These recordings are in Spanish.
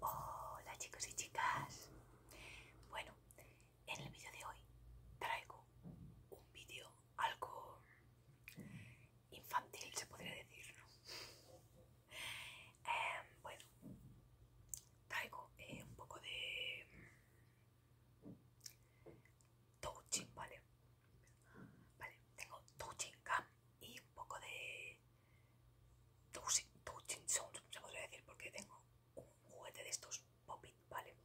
Hola chicos y chicas. Bueno, en el vídeo de hoy traigo un vídeo algo infantil, se podría decir. Em, bueno, traigo eh, un poco de Touching, vale. Vale, tengo touching Cam y un poco de touching, touching sound, se podría decir, porque tengo un juguete de estos Poppit, vale.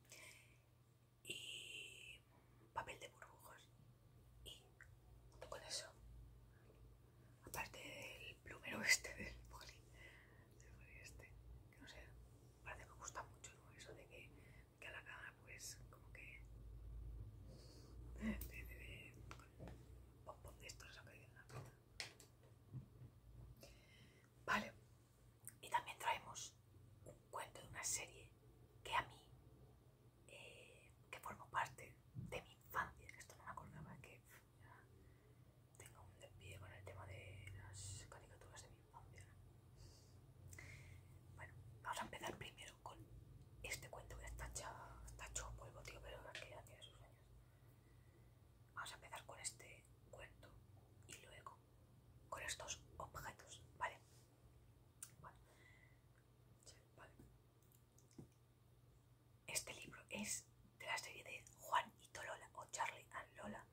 Y papel de burbujas. Y poco con eso, aparte del plumero este del poli, este, que no sé, parece que me gusta mucho, Eso de que, que a la cara, pues, como que. Eh, de, de, de, que en la Vale, y también traemos un cuento de una serie que a mí, eh, que formó parte de mi infancia, esto no me acordaba, que. Tengo un desvío con el tema de las caricaturas de mi infancia. Bueno, vamos a empezar primero con este cuento que está hecho polvo, tío, pero es que ya tiene sus sueños. Vamos a empezar con este cuento y luego con estos objetos, ¿vale? Bueno, Este libro es de la serie de Juan y Tolola o Charlie and Lola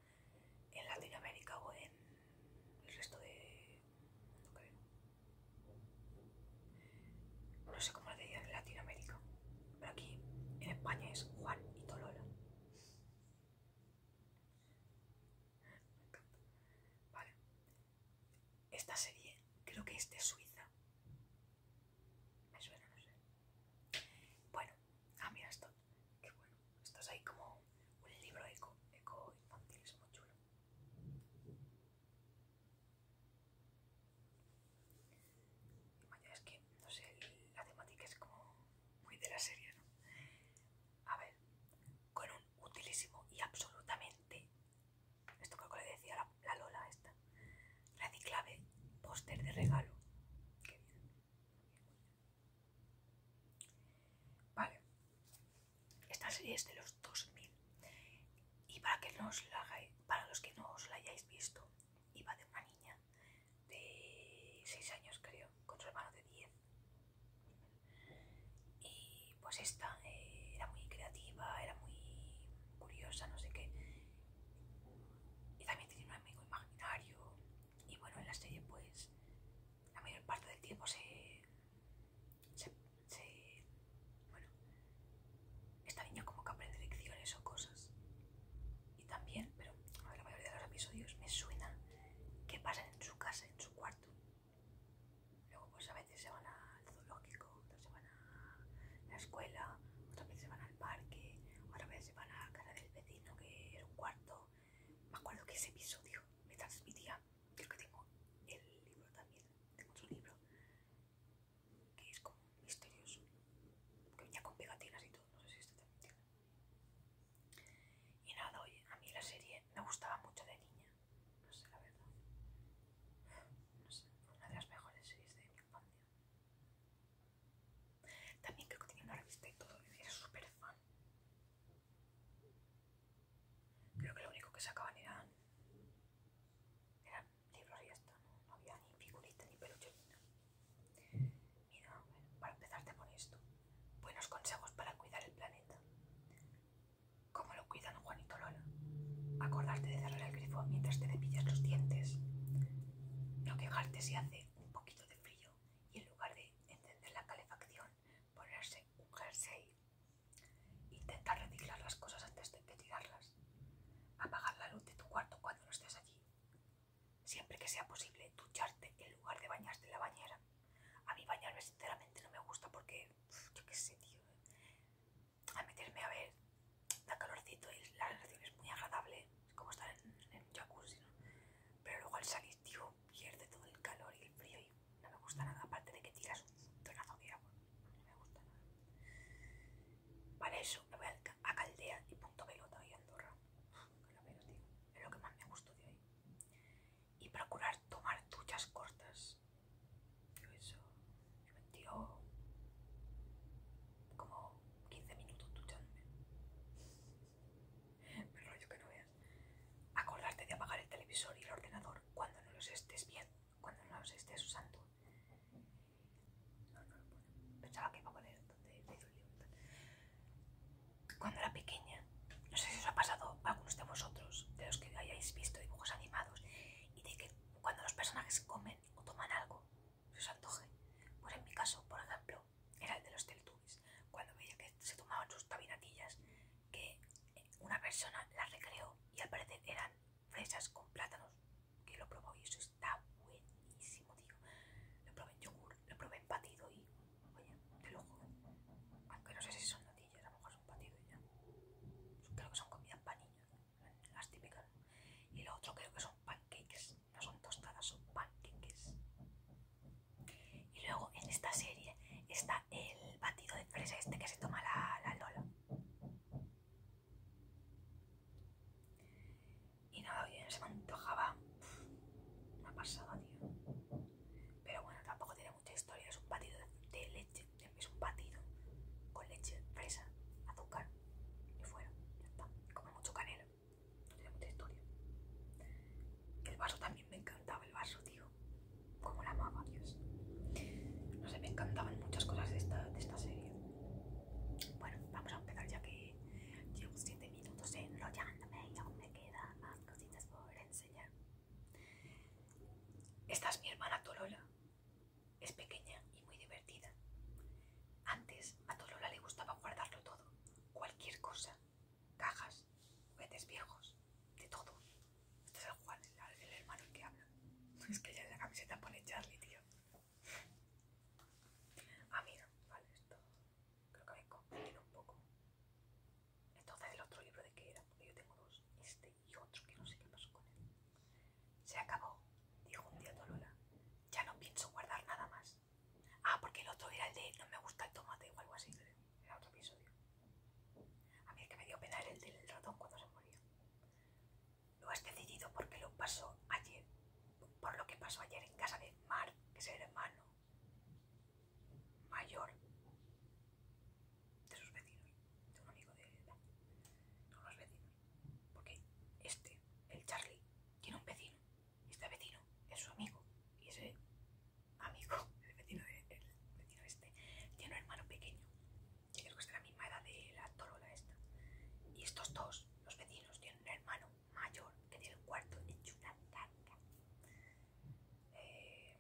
en Latinoamérica o en el resto de No sé cómo la decían en Latinoamérica, pero aquí en España es Juan y Tolola. Me encanta. Vale. Esta serie creo que es de Suiza. Me suena, no sé. Bueno, Ah, mira esto. Qué bueno. Esto es ahí como un libro eco, eco infantil, es muy chulo. Vaya, es que, no sé, la temática es como muy de la serie, ¿no? A ver, con un utilísimo y absolutamente, esto creo que le decía la, Lola esta, clave. póster de regalo. Vale, esta serie es de los 2000 y para, que la para los que no os la hayáis visto, iba de una niña de 6 años creo, con su hermano de 10 y pues esta eh, era muy creativa, era muy curiosa, no sé qué y también tenía un amigo imaginario y bueno, en la serie pues la mayor parte del tiempo se... se, bueno, esta niña como que aprende lecciones o cosas. Y también, pero la mayoría de los episodios me suena que pasa en su casa, en su cuarto. Luego pues a veces se van al zoológico, otras se van a la escuela, otras veces se van al parque, otras veces se van a casa del vecino que era un cuarto me acuerdo que ese episodio me transmitía, creo que tengo el libro también, tengo su libro, que es como misterioso, que venía con pegatinas y todo, no sé si esto también Y nada, oye, a mí la serie me gustaba mucho de niña, no sé, la verdad. No sé, fue una de las mejores series de mi infancia. También creo que tenía una revista y todo, era súper fan. Creo que lo único que sacaban eran, libros y esto, ¿no? había ni figuritas ni peluche, Mira, para empezarte con esto, buenos consejos para cuidar el planeta. ¿Cómo lo cuidan Juanito Lola? Acordarte de cerrar el grifo mientras te cepillas los dientes. No quejarte si hace un poquito de frío y en lugar de encender la calefacción, ponerse un jersey. intentar reciclar las cosas antes de tirarlas. Apagar la luz de tu cuarto cuando no estés allí. Siempre que sea posible, ducharte en lugar de bañarte en la bañera. A mí bañarme sinceramente no me gusta porque, yo qué sé, tío. A meterme a ver, da calorcito y la relación es muy agradable. Es como estar en, un jacuzzi, ¿no? Pero luego al salir, tío, pierde todo el calor y el frío y no me gusta nada, aparte de que tiras un tonazo de agua, no me gusta nada. Vale, eso, me voy a Caldea y punto pelota y Andorra. tío, es lo que más me gustó de ahí. Y procurar tomar duchas cortas. Yo eso, me metió como 15 minutos duchándome. Acordarte de apagar el televisor y el ordenador cuando no los estés bien, cuando no los estés usando. No, no Pensaba que iba a poner Cuando era pequeña, no sé si os ha pasado a algunos de vosotros, de los que hayáis visto dibujos animados, y de que cuando los personajes comen o toman algo, se os antoje. por pues en mi caso, por ejemplo, era el de los Teltubis, cuando veía que se tomaban sus tabinatillas, que una persona las recreó y al parecer eran fresas con plátanos, que lo probó y eso está buenísimo, tío. Lo probé en yogur, lo probé en batido y, oye, te lo juro. Aunque no sé si son natillas, a lo mejor son batido y ya. Creo que son comidas para niños, las típicas. Y lo otro creo que son pancakes no son tostadas, son panqueques. Y luego en esta serie está el batido de fresa este que se toma la, Lola. Y nada, bien, se me antojaba Me ha pasado, tío. Pero bueno, tampoco tiene mucha historia, es un batido de, leche, es un batido con leche, fresa, azúcar y fuera, ya está. Come mucho canela tiene mucha historia. el vaso también me encantaba, el vaso, tío. Como la amaba, Dios. No sé, me encantaban muchas cosas de esta, de esta serie. Bueno, vamos a empezar ya que llevo 7 minutos enrollándome y aún me quedan más cositas por enseñar. Esta es mi hermana Tolola. Es pequeña y muy divertida. Antes a Tolola le gustaba guardarlo todo cualquier cosa, cajas, juguetes viejos, de todo. Este es el Juan, el, hermano que habla. Es que ya en la camiseta pone Charlie, tío. Ah, mira, vale, esto creo que me confundido un poco. Entonces, el otro libro de qué era, porque yo tengo dos, este y otro que no sé qué pasó con él. Se acabó, dijo un día Tolola. Ya no pienso guardar nada más. Ah, porque el otro era el de no me gusta el tomate o algo así. Era otro episodio. A mí el que me dio pena era el del ratón cuando se moría. Lo has decidido porque lo pasó ayer. Por lo que pasó ayer en casa de Mar, que es el hermano mayor de sus vecinos. De un amigo de, de los vecinos. Porque este, el Charlie, tiene un vecino este vecino es su amigo y ese amigo, el vecino, de, vecino este, tiene un hermano pequeño que creo que es de la misma edad de la Tolola esta. Y estos dos, los vecinos, tienen un hermano mayor que tiene un cuarto hecho una eh,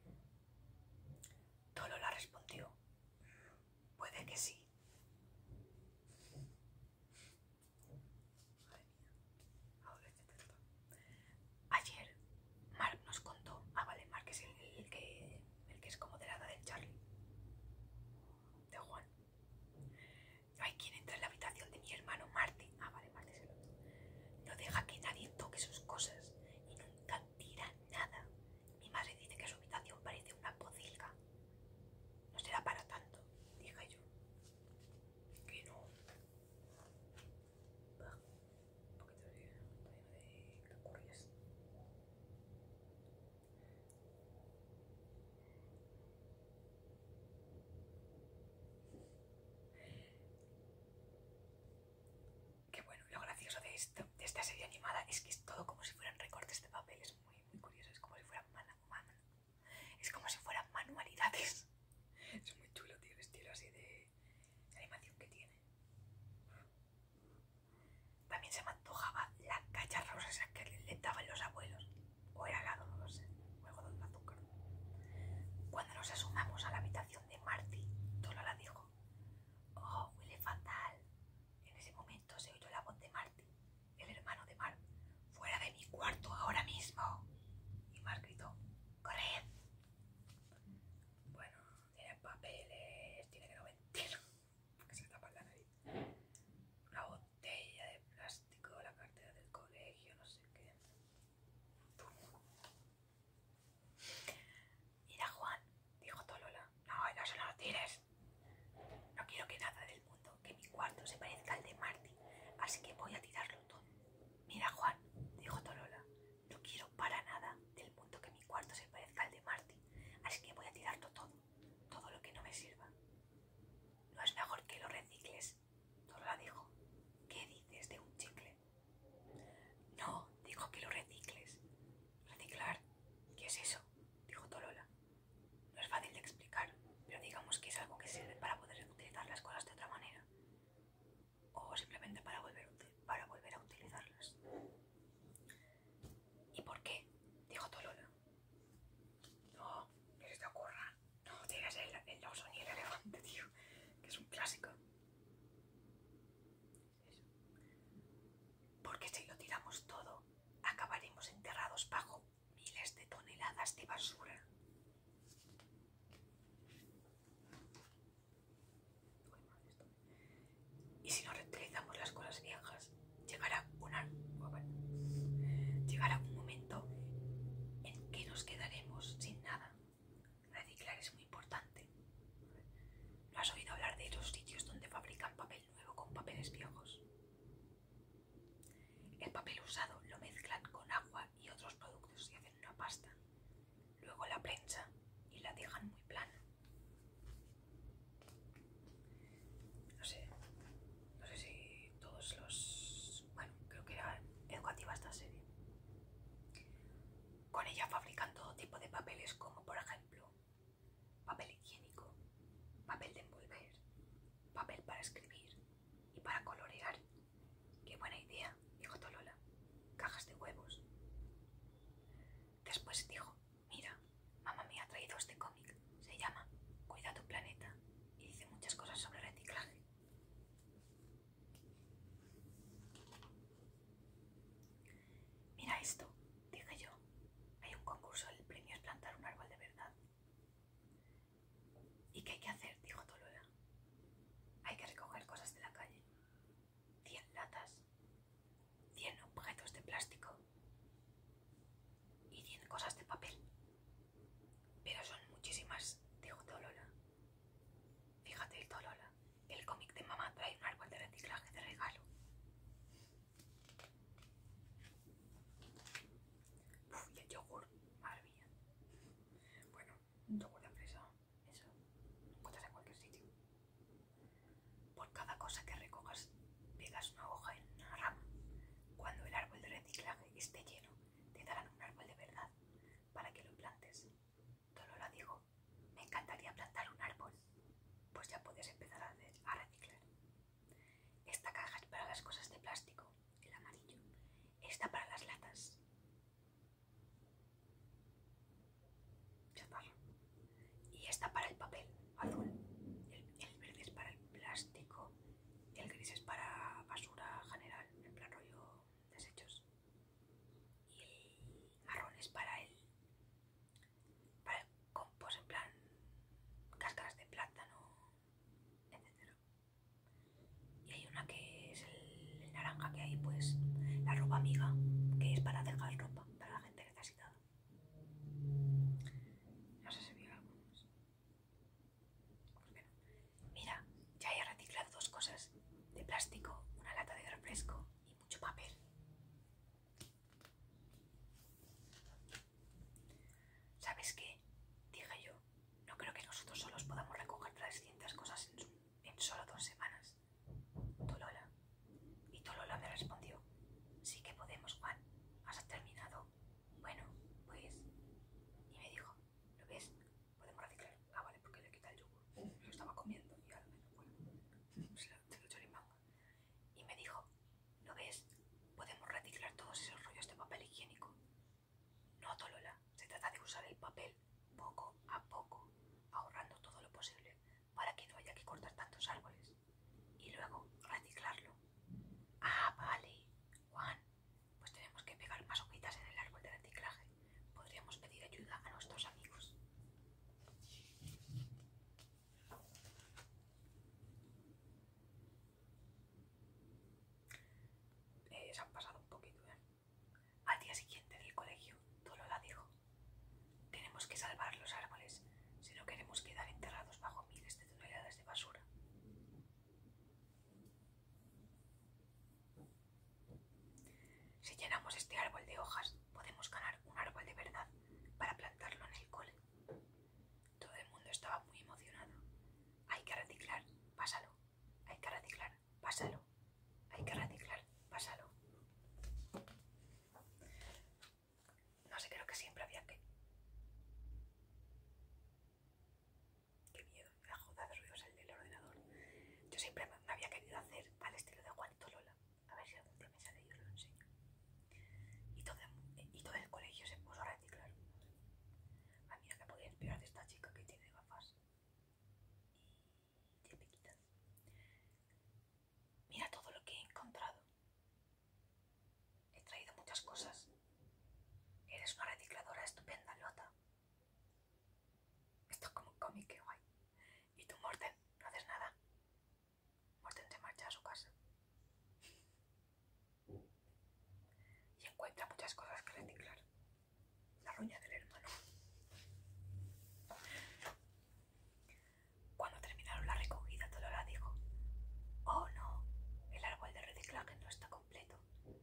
Tolola respondió, mm, puede que sí. Madre mía. Ayer Mark nos contó. Ah, vale, Mark es el, que, es como de la edad del Charlie. De Juan. Hay quien entra en la habitación de mi hermano Marty. Ah, vale, Marty es el otro. No deja que nadie toque sus cosas y nunca tira nada. Mi madre dice que su habitación parece una pocilga. No será para tanto, dije yo que no un poquito de curios. que bueno, lo gracioso de, esto, de esta serie animada es que es todo como si fueran recortes de papel, es muy, muy curioso, es como si fuera mala es como si fueran manualidades. Es muy chulo, tío, el estilo así de, animación que tiene. También se me antojaba la rosas esa que le daban los abuelos. O era la no lo sé. Luego azúcar. Cuando nos asomamos a la habitación de Marty, Tola la dijo. Oh, huele fatal. En ese momento se oyó la voz de Marty el hermano de Mar ¡Fuera de mi cuarto ahora mismo! Y Mar gritó, ¡corred! Bueno, tiene papeles, tiene que no mentir, Una botella de plástico, la cartera del colegio, no sé qué. Mira Juan, dijo Tolola. No, no lo tires. No quiero que nada de que mi cuarto se parezca al de Marty, así que voy a tirarlo todo. Mira, Juan, dijo Tolola, no quiero para nada del mundo que mi cuarto se parezca al de Marty, así que voy a tirarlo todo, todo lo que no me sirva. No es mejor que lo recicles, Tolola dijo. ¿Qué dices de un chicle? No, dijo que lo recicles. ¿Reciclar? ¿Qué es eso? dijo Tolola. No es fácil de explicar, pero digamos que es algo que sirve para poder utilizar las cosas de otra manera. O simplemente para volver, a utilizarlas. ¿Y por qué? Dijo Tolola. No, no se te ocurra. No digas el, el oso ni el elefante, tío, que es un clásico. Porque si lo tiramos todo, acabaremos enterrados bajo miles de toneladas de basura. Y si no reutilizamos las cosas viejas, llegará una, llegará un momento en que nos quedaremos sin nada. Reciclar es muy importante. ¿No has oído hablar de los sitios donde fabrican papel nuevo con papeles viejos? El papel usado lo mezclan con agua y otros productos y hacen una pasta. Luego la prensa y la dejan muy plana. No sé, no sé si todos los... Bueno, creo que era educativa esta serie. Con ella fabrican todo tipo de papeles como por ejemplo papel higiénico, papel de envolver, papel para escribir, y para colorear. ¡Qué buena idea! dijo Tolola. Cajas de huevos. Después dijo, mira, mamá me ha traído este cómic. Se llama Cuida tu planeta y dice muchas cosas sobre reciclaje. Mira esto, dije yo. Hay un concurso, el premio es plantar un árbol de verdad. ¿Y qué hay que hacer? dijo Tolola, Hay que recoger cosas de la calle. Cien latas, cien objetos de plástico y cien cosas de papel. Pero son muchísimas, dijo Tolola. Fíjate, Tolola, el cómic de mamá trae un árbol de reciclaje de regalo. Uf, y el yogur, bueno, un yogur de fresa, eso lo encuentras en cualquier sitio. Por cada cosa que recogas, pegas una hoja en una rama. Cuando el árbol de reciclaje esté lleno, te darán un árbol de verdad para que lo plantes. lo digo me encantaría plantar un árbol. Pues ya puedes empezar a reciclar. Esta caja es para las cosas de plástico, el amarillo. Esta para las latas. Y esta para el papel, azul. El, verde es para el plástico. El gris es para basura general, en plan rollo desechos. Y el marrón es para el, para el compost, en plan cáscaras de plátano, etc. Y hay una que es el, naranja que hay, pues la ropa amiga, que es para dejar ropa para la gente necesitada. No sé si mira, ya he reciclado dos cosas de plástico, una lata de refresco y mucho papel. ¿Sabes qué? Dije yo, no creo que nosotros solos podamos recoger 300 cosas en, solo dos semanas. Tolola. Y Tolola me respondió, sí que podemos, Juan. ¿Has terminado? Bueno, pues... Y me dijo, ¿lo ves? Podemos reciclar. Ah, vale, porque le quita el yogur. Lo estaba comiendo y ahora me lo bueno, se pues Y me dijo, ¿lo ves? Podemos reciclar todos esos rollos de papel higiénico. No, Tolola, se trata de usar el papel poco a poco, ahorrando todo lo posible para que no haya que cortar tantos árboles. Y luego reciclarlo. Ah, vale, Juan, pues tenemos que pegar más hojitas en el árbol de reciclaje. Podríamos pedir ayuda a nuestros amigos. Eh, se han pasado un poquito, ¿eh? Al día siguiente en el colegio, la dijo: Tenemos que salvar los árboles si no queremos quedar enterrados bajo miles de toneladas de basura. Si llenamos este árbol de hojas, podemos ganar un árbol de verdad para plantarlo en el cole. Todo el mundo estaba muy emocionado. Hay que reciclar, pásalo. Hay que reciclar, pásalo. Hay que reciclar, pásalo. No sé, creo que siempre había que... Qué miedo, la joda de ruidos el del ordenador. Yo siempre me había querido hacer al estilo de Juanito Lola. A ver si algún día me sale y lo enseño. Y todo, y todo el colegio se puso a reciclar. Ah, a mí me podía inspirar de esta chica que tiene gafas tiene Mira todo lo que he encontrado. He traído muchas cosas. Eres una recicladora estupenda, Lota. Esto es como un cómic, qué guay. ¿Y tú, Morten? ¿No haces nada? Morten se marcha a su casa y encuentra muchas cosas que reciclar. La ruña del hermano. Cuando terminaron la recogida, Dolora dijo: Oh no, el árbol de reciclaje no está completo,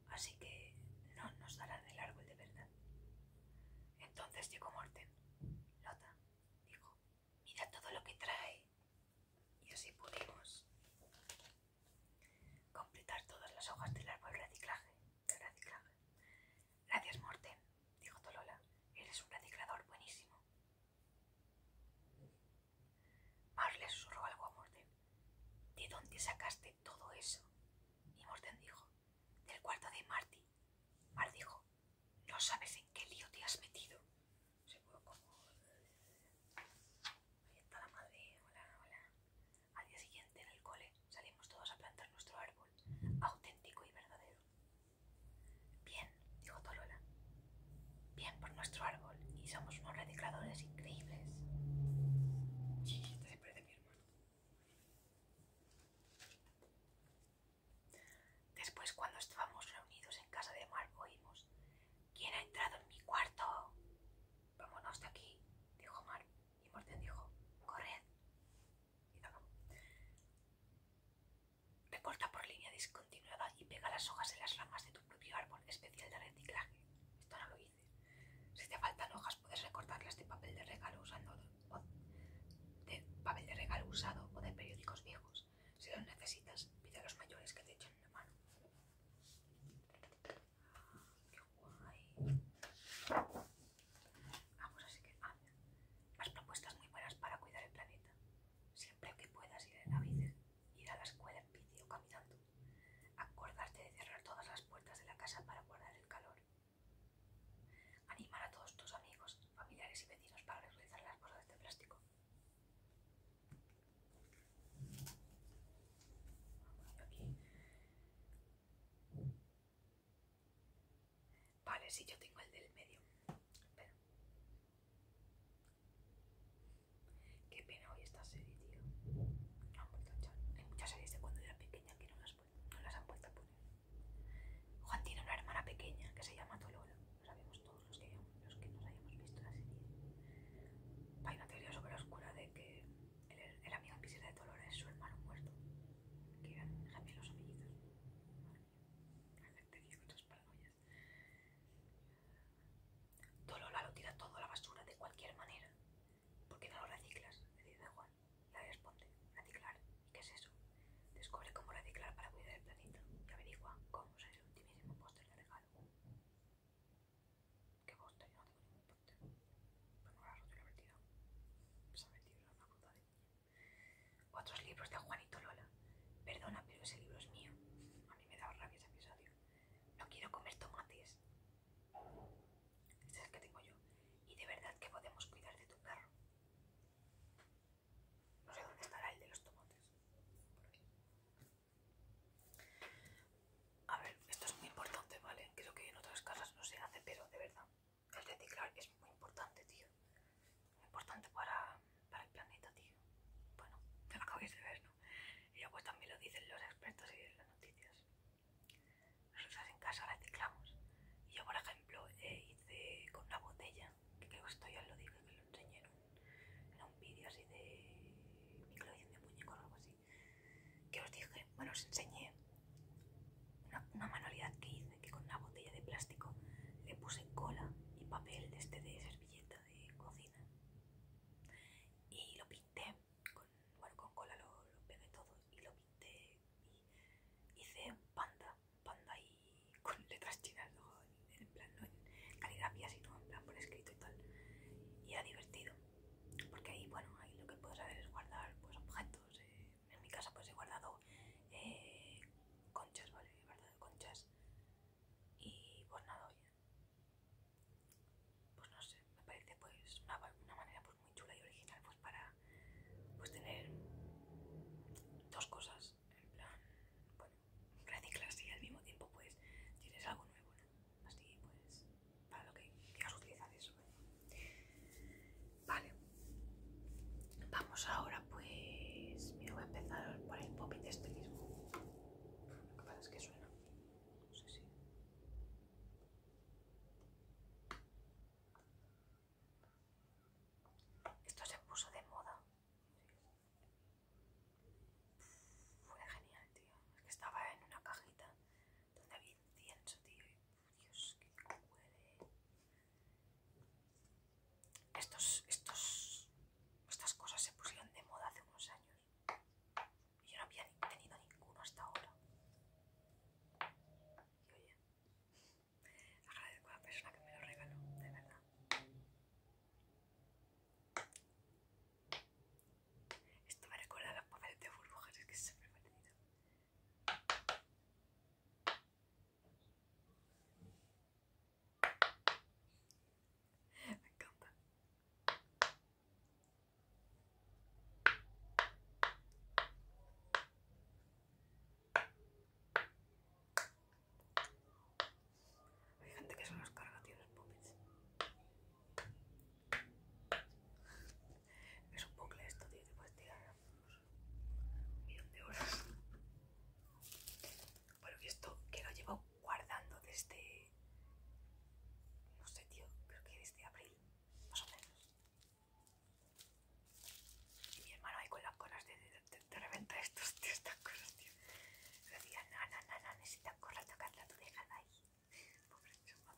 así que no nos darán el árbol de verdad. Entonces llegó Morten. Lota dijo: Mira todo lo que trae y así pudimos completar todas las hojas del árbol de reciclaje. Gracias, Morten, dijo Tolola. Eres un reciclador buenísimo. le susurró algo a Morten. ¿De dónde sacaste todo eso? Y Morten dijo, del cuarto de Marty. Mar dijo, no sabes en qué lío te has metido fue como... Ahí está la madre, hola, hola. Al día siguiente en el cole salimos todos a plantar nuestro árbol, auténtico y verdadero. Bien, dijo Tolola. Bien por nuestro árbol y somos unos recicladores increíbles. mi hermano. Después, cuando estábamos reunidos en casa de Mar oímos ¿Quién ha entrado en mi cuarto? Vámonos de aquí, dijo Mar. Y Morten dijo, corred. Y Recorta por línea discontinuada y pega las hojas en las ramas de tu propio árbol especial de reciclaje. Esto no lo hice. Si te faltan hojas, puedes recortarlas de papel de regalo usando de papel de regalo usado o de periódicos viejos. Si los necesitas, pide a los mayores que te echen una mano. Qué Vamos, así que. Ah, las propuestas muy buenas para cuidar el planeta. Siempre que puedas ir en bici, ir a la escuela en bici o caminando. Acordarte de cerrar todas las puertas de la casa para guardar el calor. Animar a todos tus amigos, familiares y vecinos para realizar las bolsas de plástico. Vale, sí, yo tengo el del medio. Espera. Qué pena hoy esta serie, tío. No han vuelto a echar. Hay muchas series de cuando era pequeña que no las, han vuelto a poner. Juan tiene una hermana pequeña que se llama Tolola, lo sabemos los que, nos hayamos visto la serie, hay una teoría sobre oscura de que el, amigo amigo piscina de Dolores es su hermano muerto, que eran gemelos o mellizos. La gente con sus paranoias. Dolola lo tira todo a la basura de cualquier manera. ¿Por qué no lo reciclas? Le dice Juan. La responde, reciclar. ¿Y qué es eso? Descubre cómo reciclar para cuidar el planeta y averigua cómo hacer el ultimísimo póster de regalo que costa, yo no tengo ningún importe. Pero no la Se ha metido de Otros libros de Juanito Lola. Perdona, pero ese libro es mío. A mí me da rabia ese episodio. No quiero comer tomates. Este es el que tengo yo. Y de verdad que podemos cuidar de tu perro. No sé dónde estará el de los tomates. A ver, esto es muy importante, ¿vale? Creo que en otras casas no se hace, pero de verdad, el reciclar es muy importante, tío. Muy importante para, el planeta, tío. Bueno, te lo acabéis de ver, ¿no? Y ya pues también lo dicen los expertos y las noticias. Nosotros en casa reciclamos. Y yo, por ejemplo, eh, hice con una botella, que creo que esto ya lo digo que lo enseñé era un vídeo así de y de muñecos o algo así, que os dije, bueno, os enseñé una, manualidad que hice, que con una botella de plástico le puse cola y papel de este de servilleta de cocina y lo pinté, con, bueno, con cola lo, pegué todo y lo pinté y hice panda, panda y con letras chinas, en plan, no en caligrafía, sino en plan por escrito y tal. Y era divertido, porque ahí, bueno, ahí lo que puedo hacer es guardar pues, objetos. Eh, en mi casa, pues he guardado eh, conchas, ¿vale? He guardado conchas. Y pues nada, oye. Pues no sé, me parece pues una, una manera pues muy chula y original pues para pues tener dos cosas en plan, reciclas y al mismo tiempo pues tienes algo nuevo, Así pues, para lo que quieras utilizar eso. Vale. Vamos ahora pues, mira, voy a empezar por el pop de este Lo que pasa es que suena. No sé si... Esto se puso de moda fue genial, tío. Es que estaba en una cajita donde había incienso, tío. Dios, qué huele. Estos, estos, estas cosas se pusieron de moda hace unos años. Y yo no había tenido ninguno hasta ahora. Y oye, agradezco a la persona que me lo regaló, de verdad. Esto me recuerda a los papeles de burbujas, es que es súper tenido. Me encanta. Hay gente que son los carga, tío, los puppets. Es un bucle esto, tío, te puedes tirar un millón de horas. Bueno, y esto que lo llevo guardando desde. No sé, tío, creo que desde abril, más o menos. Y mi hermano ahí con las cosas de, reventa estos, estas cosas, tío. No, decía, no, no, no, no, necesitas correr a tocarla, tú déjala ahí. Pobre chaval.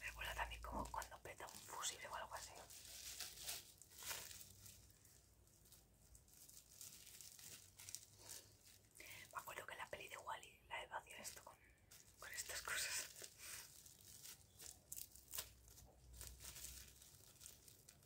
Me recuerda también como cuando peta un fusible o algo así. Me acuerdo que la peli de Wally -E, la he vaciado esto con estas cosas.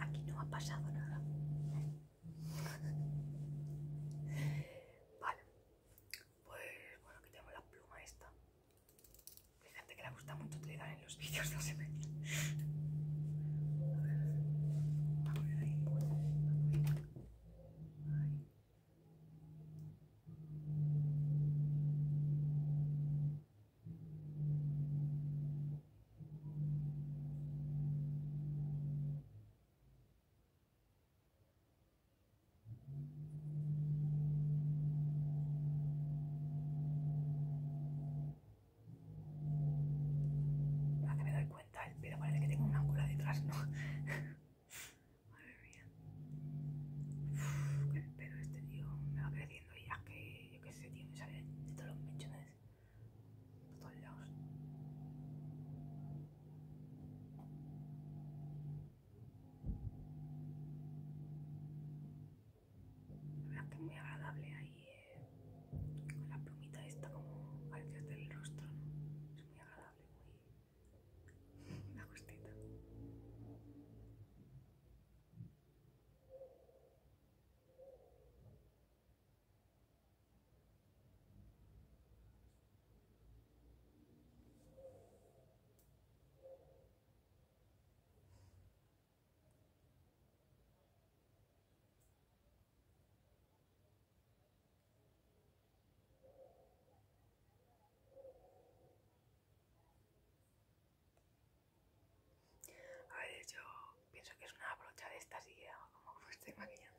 Aquí no ha pasado nada. Pues bueno, aquí tengo la pluma esta. Hay gente que le gusta mucho utilizar en los vídeos, de se a ver ahí. ahí. Ahora que me doy cuenta, el eh, pelo parece que tengo una cola detrás, ¿no? Madre mía. que el pelo este, tío, me va creciendo y ya que, yo qué sé, tío, me salen de todos los mechones. Por todos lados. Me muy agradable ahí eh, con la plumita esta como parece del rostro, ¿no? Es muy agradable, muy la gustita. A ver, yo pienso que es una brocha de estas y como me estoy maquillando.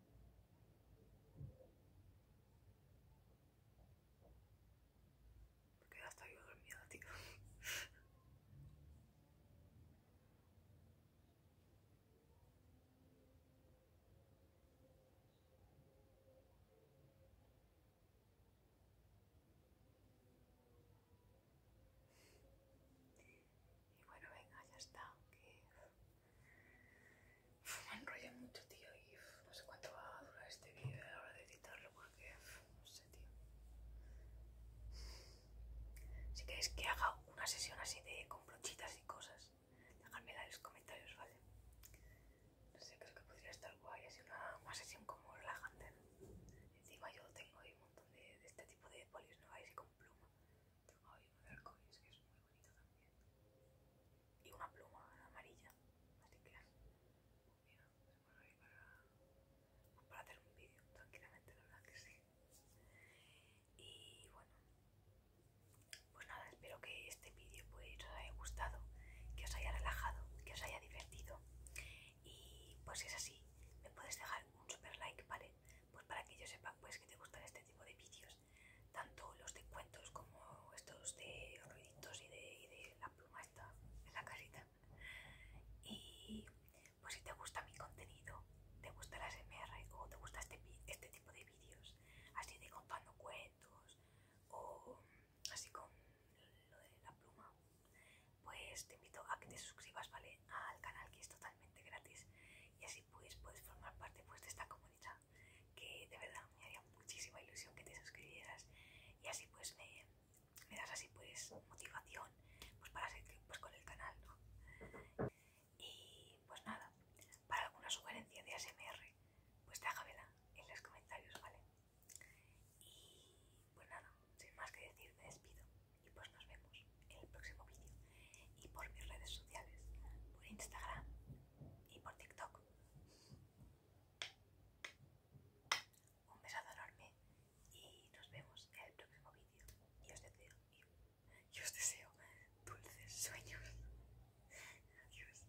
Porque ya estoy yo dormida, tío. Y bueno, venga, ya está. Me enrollo mucho, tío, y no sé cuánto va a durar este vídeo a la hora de editarlo porque no sé, tío. Si queréis que haga una sesión así de con brochitas y cosas, dejadmela en los comentarios, ¿vale? No sé, creo que podría estar guay, así una, sesión como relajante. Encima yo tengo ahí un montón de, este tipo de polis, ¿no? y con pluma muy bonito Y una pluma amarilla, así que se ahí para, para hacer un vídeo tranquilamente, la verdad que sí. Y bueno, pues nada, espero que este vídeo pues os haya gustado, que os haya relajado, que os haya divertido. Y pues si es así, me puedes dejar un super like, ¿vale? Pues para que yo sepa pues que te gustan este tipo de vídeos tanto los de cuentos como estos de ruiditos y de, la pluma esta en la casita. Y pues si te gusta mi contenido, te gusta la SMR o te gusta este, este tipo de vídeos, así de contando cuentos o así con lo de la pluma, pues te invito a que te suscribas, ¿vale? Al canal que es totalmente gratis y así pues puedes formar parte pues de esta comunidad que de verdad me haría muchísima ilusión que te suscribieras y así pues me, das así pues motivación pues para seguir pues con el canal y pues nada para alguna sugerencia de ASMR pues déjamela en los comentarios vale y pues nada sin más que decir me despido y pues nos vemos en el próximo vídeo y por mis redes sociales, por Instagram y por TikTok. Un besazo enorme y nos vemos en el próximo vídeo. Y os deseo, y os deseo dulces sueños. Adiós.